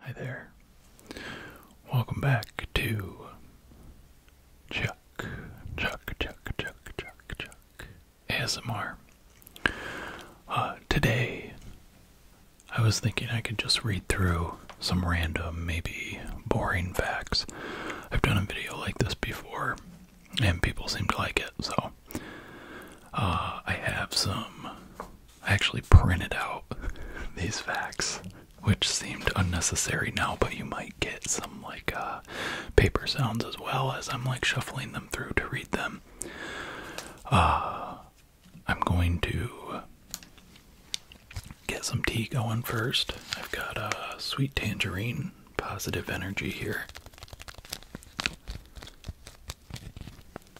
Hi there. Welcome back to Chuck, Chuck, Chuck, Chuck, Chuck, Chuck ASMR. Uh, today, I was thinking I could just read through some random, maybe boring facts. I've done a video like this before, and people seem to like it, so uh, I have some I actually printed out these facts, which seemed unnecessary now, but you might get some like uh, paper sounds as well as I'm like shuffling them through to read them. Uh, I'm going to get some tea going first. I've got a sweet tangerine, positive energy here.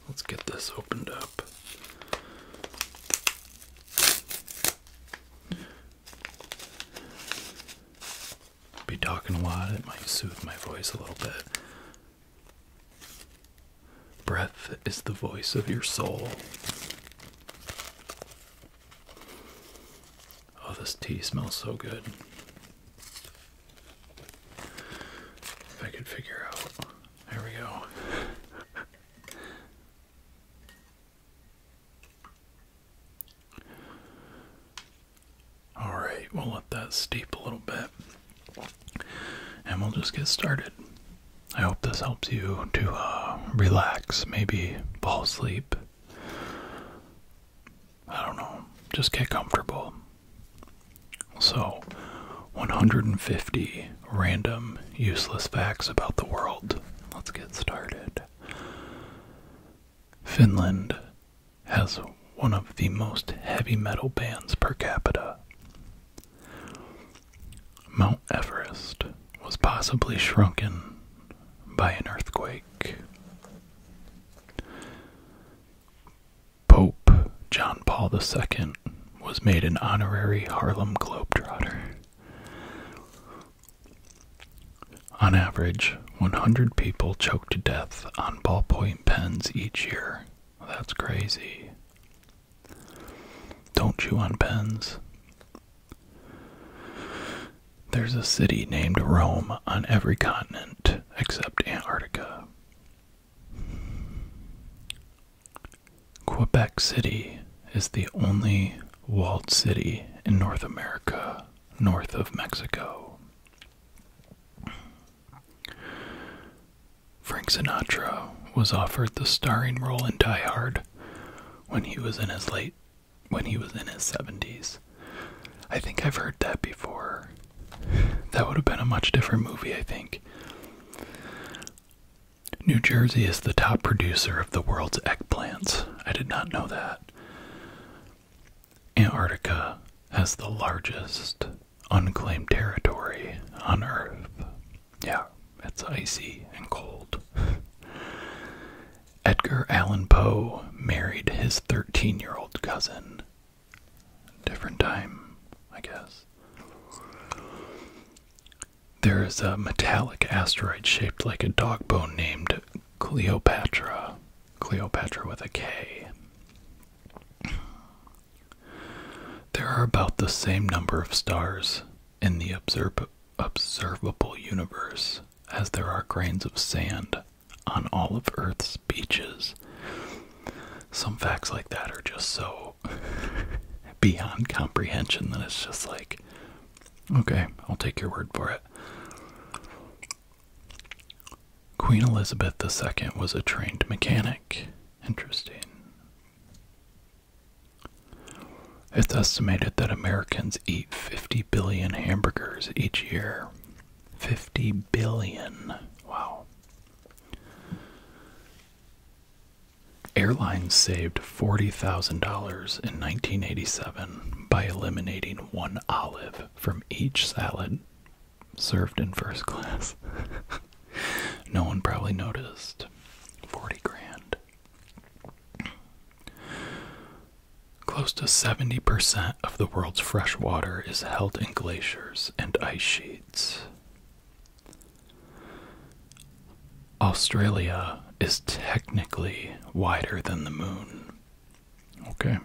Let's get this opened up. Be talking a lot, it might soothe my voice a little bit. Breath is the voice of your soul. Oh, this tea smells so good. If I could figure out there we go. All right, we'll let that steep a little bit and we'll just get started. I hope this helps you to uh, relax, maybe fall asleep. I don't know, just get comfortable. So, 150 random useless facts about the world. Let's get started. Finland has one of the most heavy metal bands per capita. Mount Everest was possibly shrunken by an earthquake. Pope John Paul II was made an honorary Harlem Globetrotter. On average, 100 people choke to death on ballpoint pens each year. That's crazy. Don't chew on pens. There's a city named Rome on every continent except Antarctica. Quebec City is the only walled city in North America north of Mexico. Frank Sinatra was offered the starring role in Die Hard when he was in his late when he was in his 70s. I think I've heard that before. That would have been a much different movie, I think. New Jersey is the top producer of the world's eggplants. I did not know that. Antarctica has the largest unclaimed territory on Earth. Yeah, it's icy and cold. Edgar Allan Poe married his 13 year old cousin different time, I guess. There is a metallic asteroid shaped like a dog bone named Cleopatra. Cleopatra with a K. There are about the same number of stars in the observable universe as there are grains of sand on all of Earth's Beaches. Some facts like that are just so beyond comprehension that it's just like, okay, I'll take your word for it. Queen Elizabeth II was a trained mechanic. Interesting. It's estimated that Americans eat 50 billion hamburgers each year. 50 billion. Wow. Airlines saved $40,000 in 1987 by eliminating one olive from each salad served in first class. no one probably noticed. 40 grand. Close to 70% of the world's fresh water is held in glaciers and ice sheets. Australia is technically wider than the moon. Okay.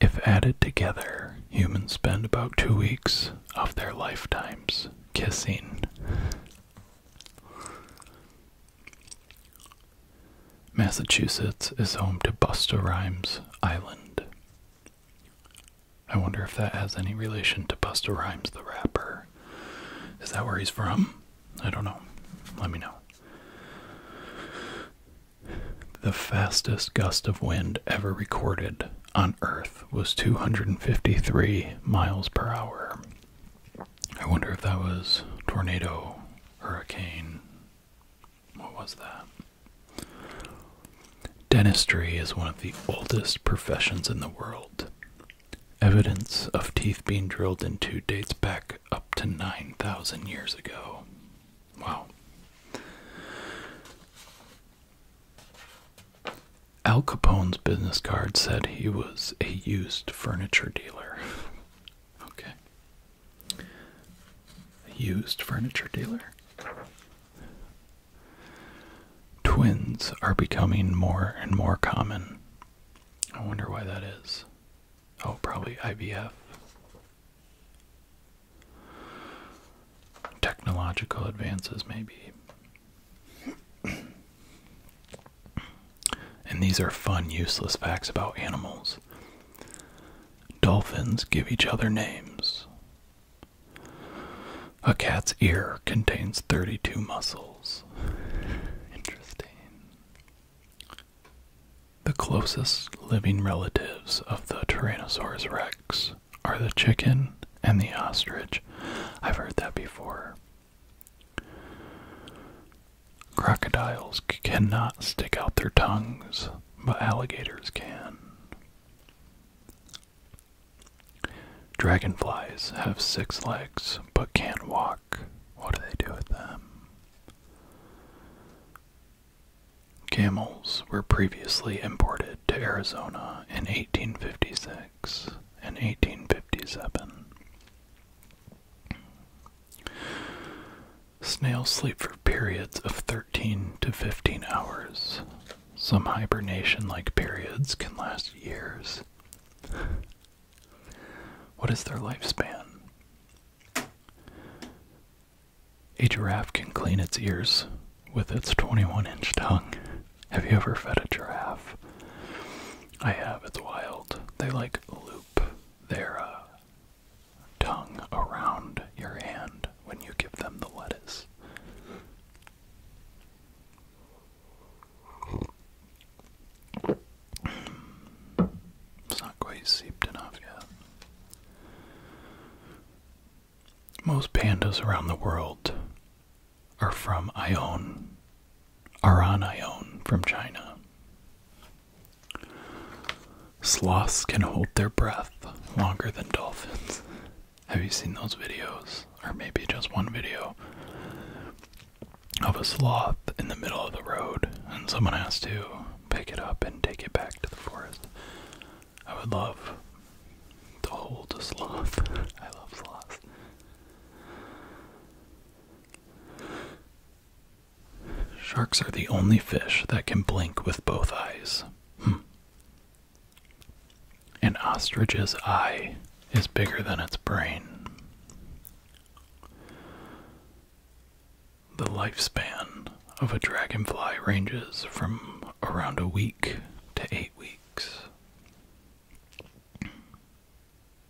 If added together, humans spend about two weeks of their lifetimes kissing. Massachusetts is home to Busta Rhymes Island. I wonder if that has any relation to Busta Rhymes, the rapper. Is that where he's from? I don't know. Let me know. The fastest gust of wind ever recorded on Earth was 253 miles per hour. I wonder if that was tornado, hurricane, what was that? Dentistry is one of the oldest professions in the world. Evidence of teeth being drilled into dates back up to 9,000 years ago. Wow. Al Capone's business card said he was a used furniture dealer. Okay. used furniture dealer. Twins are becoming more and more common. I wonder why that is. Oh, probably IVF. Technological advances, maybe. and these are fun, useless facts about animals. Dolphins give each other names. A cat's ear contains 32 muscles. Interesting. The closest living relatives of the Tyrannosaurus rex are the chicken and the ostrich. I've heard that before. Crocodiles cannot stick out their tongues, but alligators can. Dragonflies have six legs but can't walk. What do they do with them? Camels were previously imported to Arizona in 1856 and 1857. Snails sleep for periods of 13 to 15 hours. Some hibernation like periods can last years. What is their lifespan? A giraffe can clean its ears with its 21 inch tongue. Have you ever fed a giraffe? I have, it's wild. They like loop their uh, tongue around your hand when you give them the lettuce. It's not quite seeped enough yet. Most pandas around the world are from Ion, Aran on from China. Sloths can hold their breath longer than dolphins. Have you seen those videos? Or maybe just one video of a sloth in the middle of the road and someone has to pick it up and take it back to the forest. I would love to hold a sloth. I love sloths. Sharks are the only fish that can blink with both eyes. Hm. An ostrich's eye is bigger than its brain. The lifespan of a dragonfly ranges from around a week to eight weeks.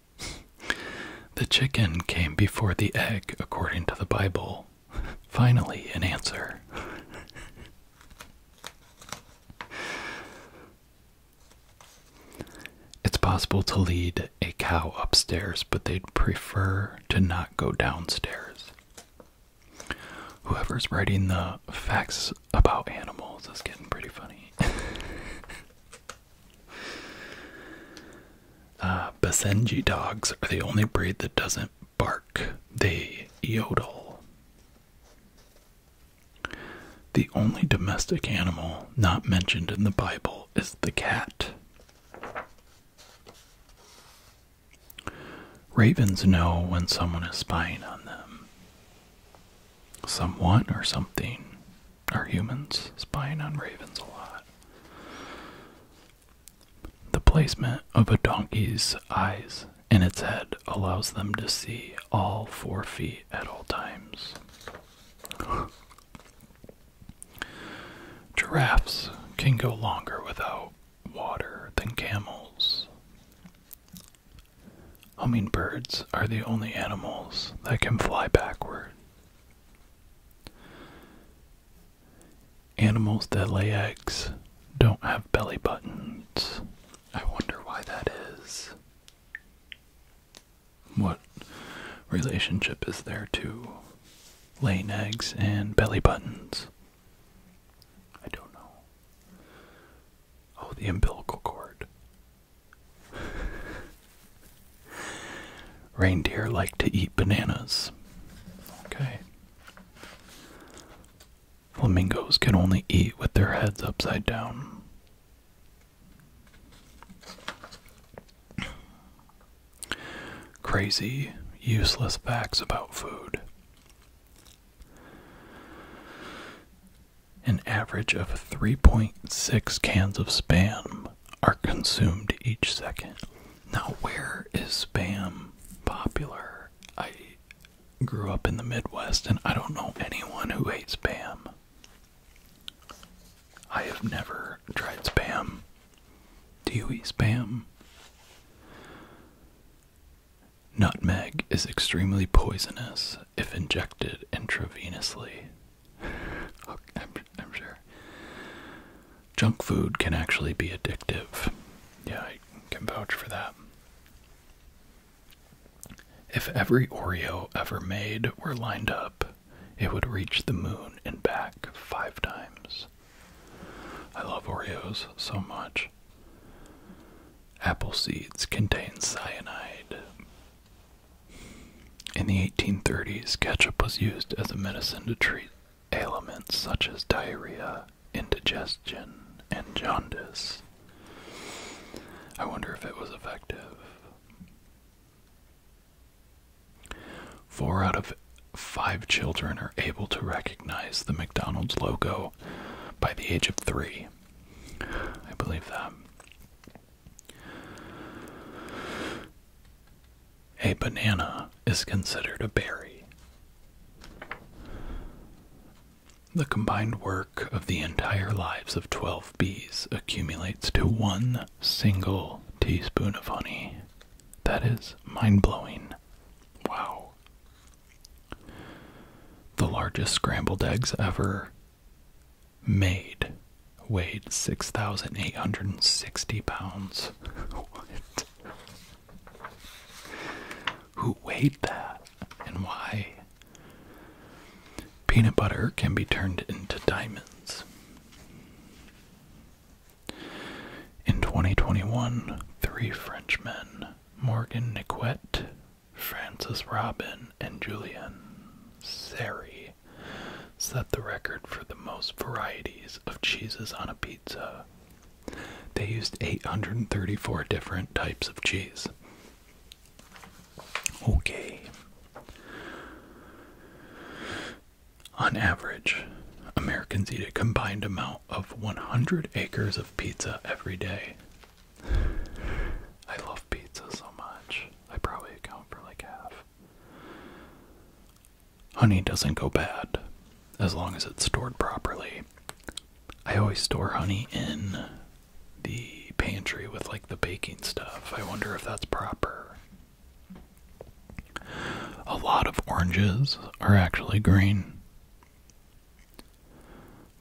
the chicken came before the egg, according to the Bible. Finally, an answer. it's possible to lead a cow upstairs, but they'd prefer to not go downstairs. Whoever's writing the facts about animals is getting pretty funny. Uh, Basenji dogs are the only breed that doesn't bark, they yodel. The only domestic animal not mentioned in the Bible is the cat. Ravens know when someone is spying on them. Someone or something are humans spying on ravens a lot. The placement of a donkey's eyes in its head allows them to see all four feet at all times. Giraffes can go longer without water than camels. Hummingbirds are the only animals that can fly backward. Animals that lay eggs don't have belly buttons. I wonder why that is. What relationship is there to laying eggs and belly buttons? I don't know. Oh, the umbilical cord. Reindeer like to eat bananas. Okay. Flamingos can only eat with their heads upside down. Crazy, useless facts about food. An average of 3.6 cans of spam are consumed each second. Now, where is spam popular? I grew up in the Midwest and I don't know anyone who hates spam. I have never tried spam. Do you eat spam? Nutmeg is extremely poisonous if injected intravenously. I'm, sure. Junk food can actually be addictive. Yeah, I can vouch for that. If every Oreo ever made were lined up, it would reach the moon and back five times. I love Oreos so much. Apple seeds contain cyanide. In the 1830s, ketchup was used as a medicine to treat ailments such as diarrhea, indigestion, and jaundice. I wonder if it was effective. Four out of five children are able to recognize the McDonald's logo by the age of three. I believe that. A banana is considered a berry. The combined work of the entire lives of 12 bees accumulates to one single teaspoon of honey. That is mind blowing. Wow. The largest scrambled eggs ever made weighed 6,860 pounds. what? Who weighed that and why? Peanut butter can be turned into diamonds. In 2021, three Frenchmen, Morgan Niquet, Francis Robin, and Julian Seri, set the record for the most varieties of cheeses on a pizza. They used 834 different types of cheese. Okay. On average, Americans eat a combined amount of 100 acres of pizza every day. I love pizza so much. I probably account for like half. Honey doesn't go bad as long as it's stored properly. I always store honey in the pantry with like the baking stuff. I wonder if that's proper. A lot of oranges are actually green.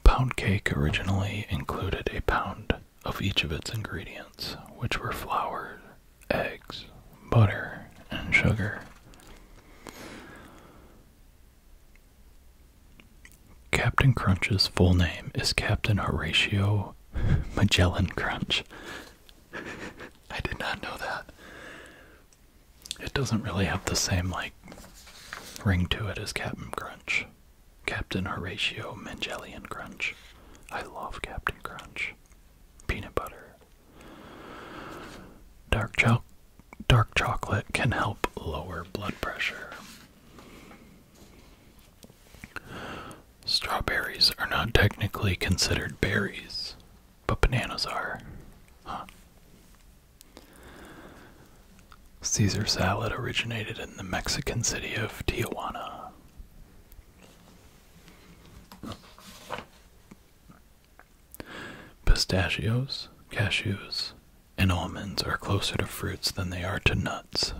Pound cake originally included a pound of each of its ingredients, which were flour, eggs, butter, and sugar. Captain Crunch's full name is Captain Horatio Magellan Crunch. I did not know that. It doesn't really have the same, like, ring to it as Captain Crunch. Captain Horatio Mangelian Crunch. I love Captain Crunch. Peanut butter. Dark, cho dark chocolate can help lower blood pressure. Strawberries are not technically considered berries, but bananas are. Huh. Caesar salad originated in the Mexican city of Tijuana. Pistachios, cashews, and almonds are closer to fruits than they are to nuts.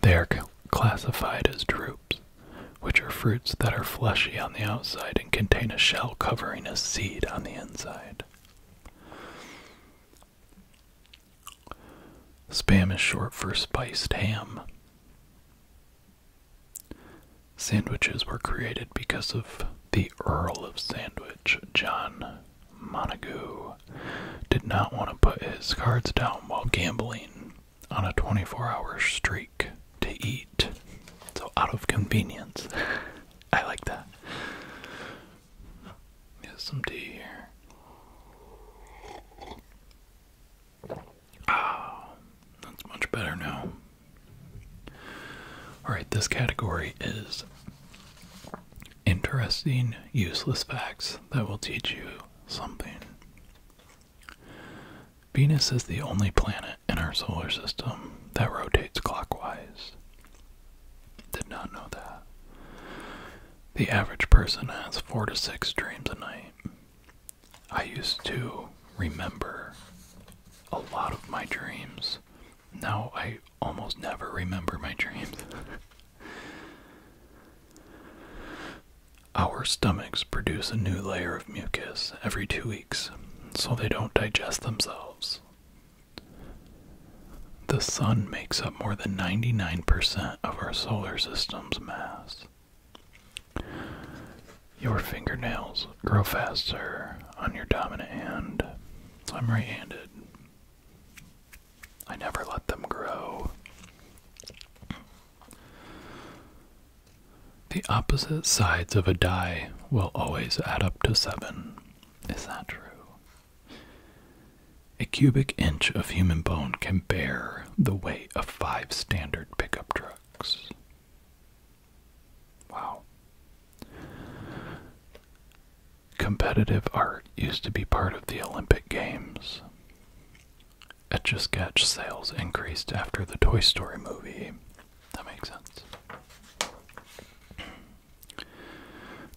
They are classified as drupes, which are fruits that are fleshy on the outside and contain a shell covering a seed on the inside. Spam is short for spiced ham. Sandwiches were created because of the Earl of Sandwich, John Montagu, did not want to put his cards down while gambling on a 24 hour streak to eat. So, out of convenience. I like that. Get some tea here. Ah, that's much better now. Alright, this category is interesting, useless facts that will teach you something. Venus is the only planet in our solar system that rotates clockwise. Did not know that. The average person has four to six dreams a night. I used to remember a lot of my dreams. Now I almost never remember my dreams. Our stomachs produce a new layer of mucus every two weeks so they don't digest themselves. The Sun makes up more than 99% of our solar system's mass. Your fingernails grow faster on your dominant hand. I'm right handed. I never let them grow. The opposite sides of a die will always add up to seven. Is that true? A cubic inch of human bone can bear the weight of five standard pickup trucks. Wow. Competitive art used to be part of the Olympic Games. Etch a sketch sales increased after the Toy Story movie. That makes sense.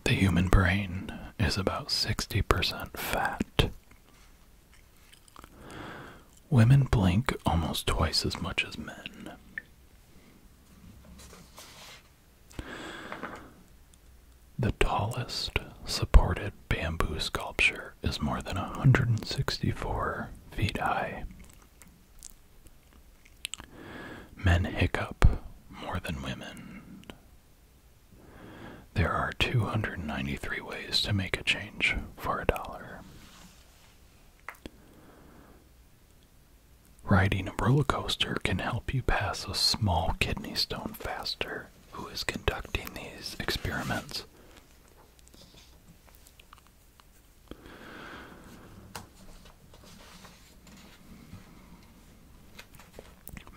The human brain is about 60% fat. Women blink almost twice as much as men. The tallest supported bamboo sculpture is more than 164 feet high. Men hiccup more than women there are 293 ways to make a change for a dollar. Riding a roller coaster can help you pass a small kidney stone faster. Who is conducting these experiments?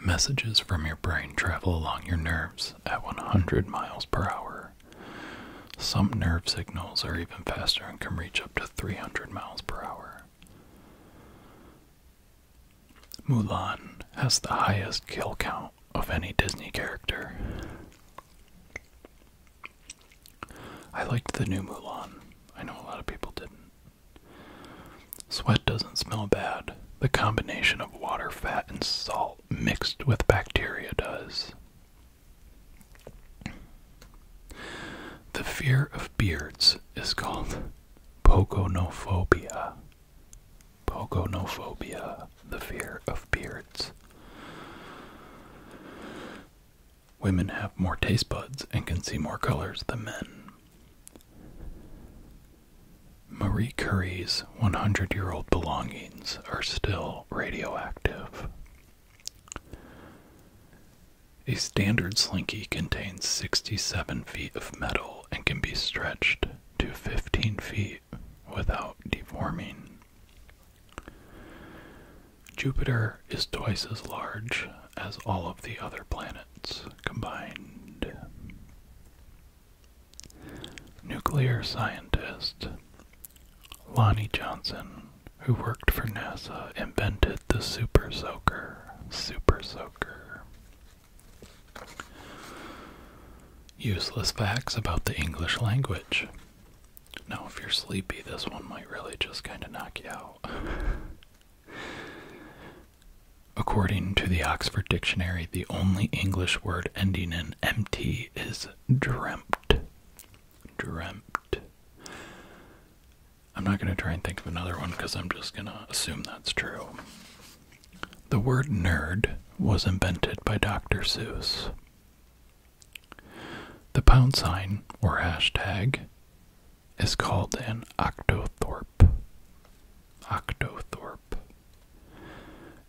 Messages from your brain travel along your nerves at 100 miles per hour. Some nerve signals are even faster and can reach up to 300 miles per hour. Mulan has the highest kill count of any Disney character. I liked the new Mulan. I know a lot of people didn't. Sweat doesn't smell bad. The combination of water, fat, and salt mixed with bacteria does. The fear of beards is called pogonophobia. Pogonophobia, the fear of beards. Women have more taste buds and can see more colors than men. Marie Curie's 100 year old belongings are still radioactive. A standard slinky contains 67 feet of metal and can be stretched to 15 feet without deforming. Jupiter is twice as large as all of the other planets combined. Nuclear scientist Lonnie Johnson, who worked for NASA, invented the super soaker. Super soaker. Useless facts about the English language. Now, if you're sleepy, this one might really just kind of knock you out. According to the Oxford Dictionary, the only English word ending in mt is dreamt. Dreamt. I'm not going to try and think of another one because I'm just going to assume that's true. The word nerd was invented by Dr. Seuss. The pound sign, or hashtag, is called an octothorpe. Octothorpe.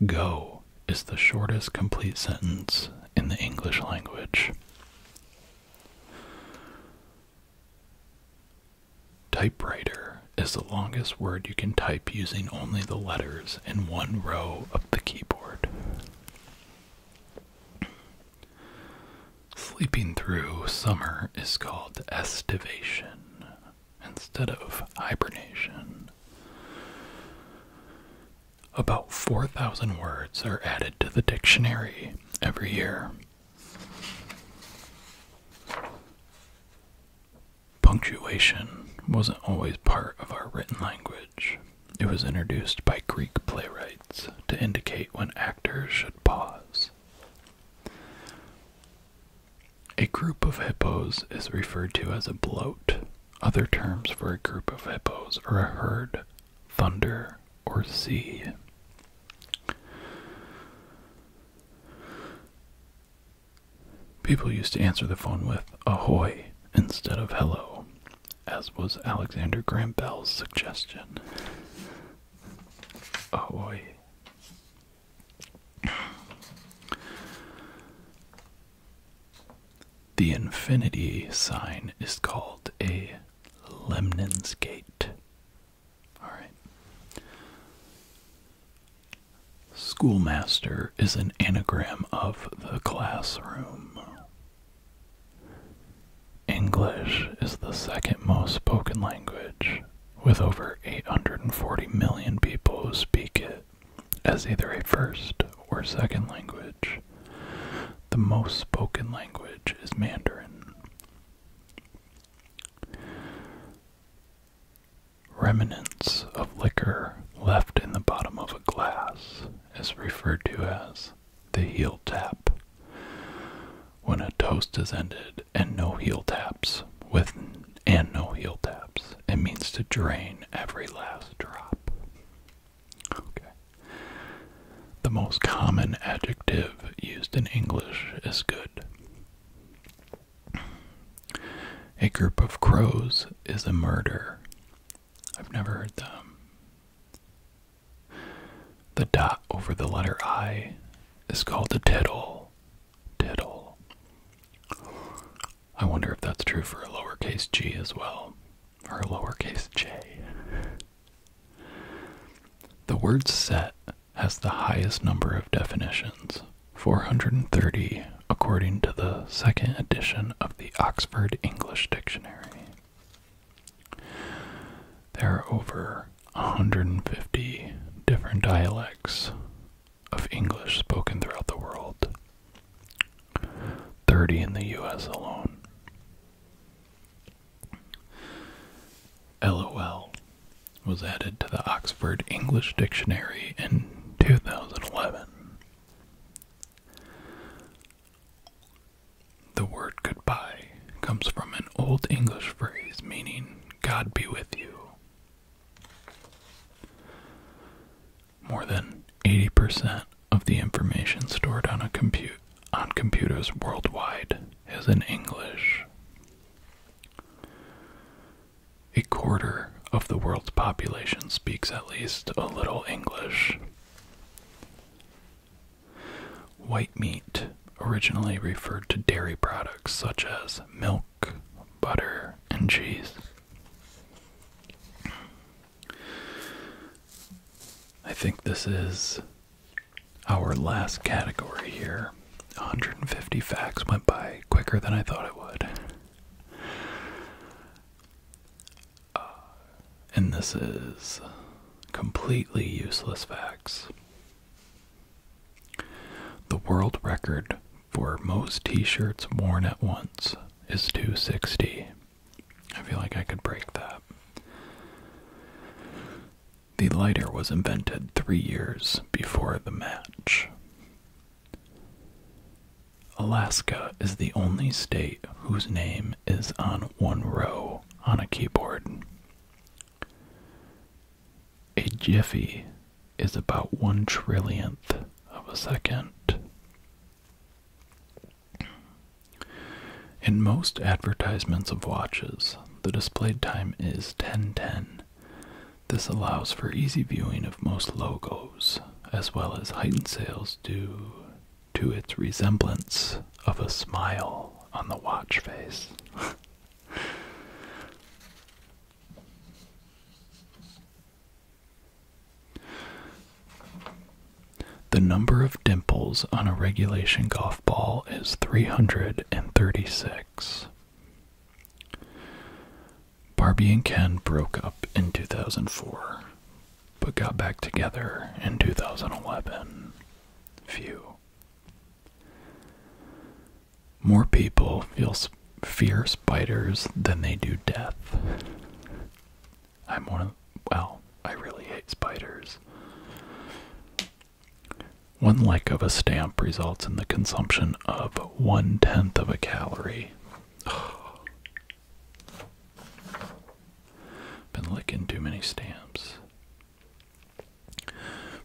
Go is the shortest complete sentence in the English language. Typewriter is the longest word you can type using only the letters in one row of the keyboard. Sleeping through summer is called estivation instead of hibernation. About 4,000 words are added to the dictionary every year. Punctuation wasn't always part of our written language. It was introduced by Greek playwrights to indicate when should pause. A group of hippos is referred to as a bloat. Other terms for a group of hippos are a herd, thunder, or sea. People used to answer the phone with ahoy instead of hello as was Alexander Graham Bell's suggestion. the infinity sign is called a Lemnin's gate. All right. Schoolmaster is an anagram of the classroom. English is the second most spoken language, with over 840 million people who speak it as either a first or second language. The most spoken language is Mandarin. Remnants of liquor left in the bottom of a glass is referred to as the heel tap. When a toast is ended and no heel taps, with and no heel taps, it means to drain every last drop. Okay. The most common adjective used in English is good. A group of crows is a murder. I've never heard them. Um, the dot over the letter I is called a tittle. Tittle. I wonder if that's true for a lowercase g as well, or a lowercase j. The word set has the highest number of definitions, 430, according to the second edition of the Oxford English Dictionary. There are over 150 different dialects of English spoken throughout the world, 30 in the US alone. LOL was added to the Oxford English Dictionary in 2011. The word goodbye comes from an Old English phrase meaning God be with you. More than 80% of the information stored on computers worldwide is in English. A quarter of the world's population speaks at least a little English. White meat originally referred to dairy products such as milk, butter, and cheese. I think this is our last category here. 150 facts went by quicker than I thought it would and this is completely useless facts. The world record for most t shirts worn at once is 260. I feel like I could break that. The lighter was invented three years before the match. Alaska is the only state whose name is on one row on a keyboard. A jiffy is about one trillionth of a second. In most advertisements of watches, the displayed time is 1010. This allows for easy viewing of most logos, as well as heightened sales due to its resemblance of a smile on the watch face. the number of dimples on a regulation golf ball is 336. Barbie and Ken broke up in 2004 but got back together in 2011. Few. More people feel fear spiders than they do death. I'm one of, well, I really hate spiders. One lick of a stamp results in the consumption of one tenth of a calorie. Been licking too many stamps.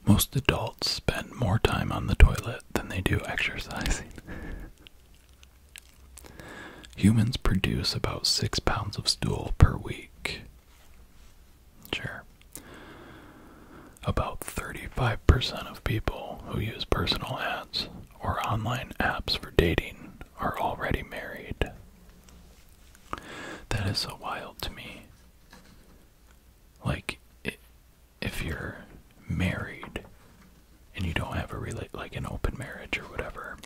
Most adults spend more time on the toilet than they do exercising. Humans produce about six pounds of stool per week. Sure. About 35% of people who use personal ads or online apps for dating are already married. That is so wild to me. Like, if you're married and you don't have a relate like an open marriage or whatever,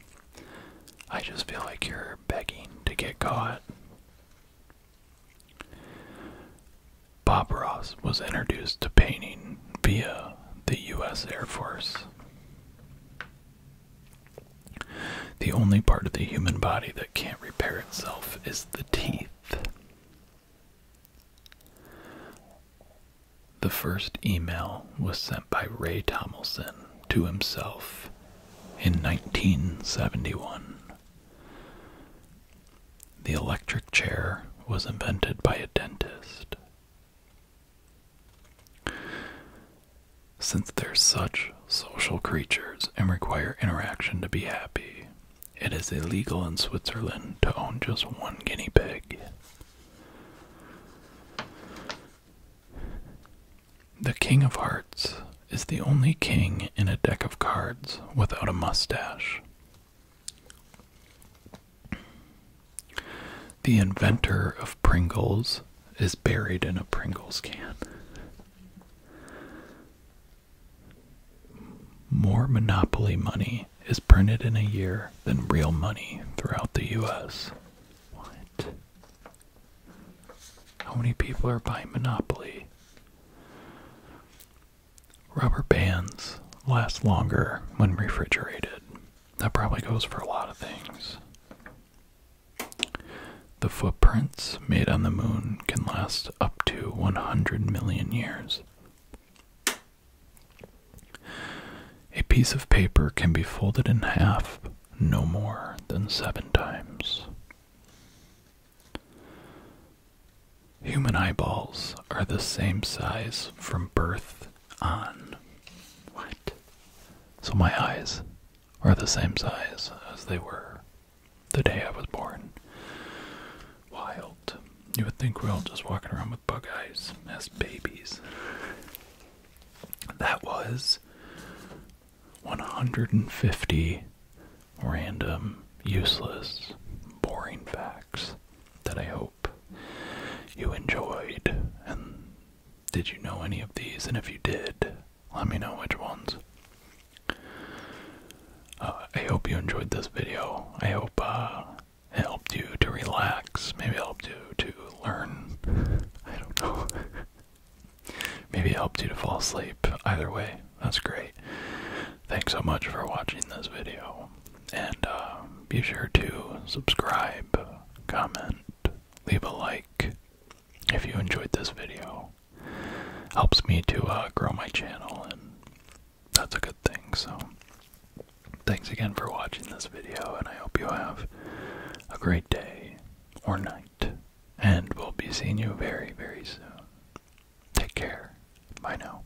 I just feel like you're begging to get caught. Bob Ross was introduced to painting via the U.S. Air Force. The only part of the human body that can't repair itself is the teeth. The first email was sent by Ray Tomlinson to himself in 1971. The electric chair was invented by a dentist. Since they're such social creatures and require interaction to be happy, it is illegal in Switzerland to own just one guinea pig. The King of Hearts is the only king in a deck of cards without a mustache. The inventor of Pringles is buried in a Pringles can. More monopoly money is printed in a year than real money throughout the US. What? How many people are buying Monopoly? Rubber bands last longer when refrigerated. That probably goes for a lot of things. The footprints made on the moon can last up to 100 million years. A piece of paper can be folded in half no more than seven times. Human eyeballs are the same size from birth on what? So my eyes are the same size as they were the day I was born. Wild. You would think we're all just walking around with bug eyes as babies. That was 150 random, useless, boring facts that I hope you enjoyed. And did you know any of these? And if you did, let me know which ones. Uh, I hope you enjoyed this video. I hope uh, it helped you to relax. Maybe helped you to learn. I don't know. Maybe helped you to fall asleep. Either way, that's great. Thanks so much for watching this video. And um, be sure to subscribe, comment, leave a like if you enjoyed this video. Helps me to uh, grow my channel, and that's a good thing. So, thanks again for watching this video, and I hope you have a great day or night. And we'll be seeing you very, very soon. Take care. Bye now.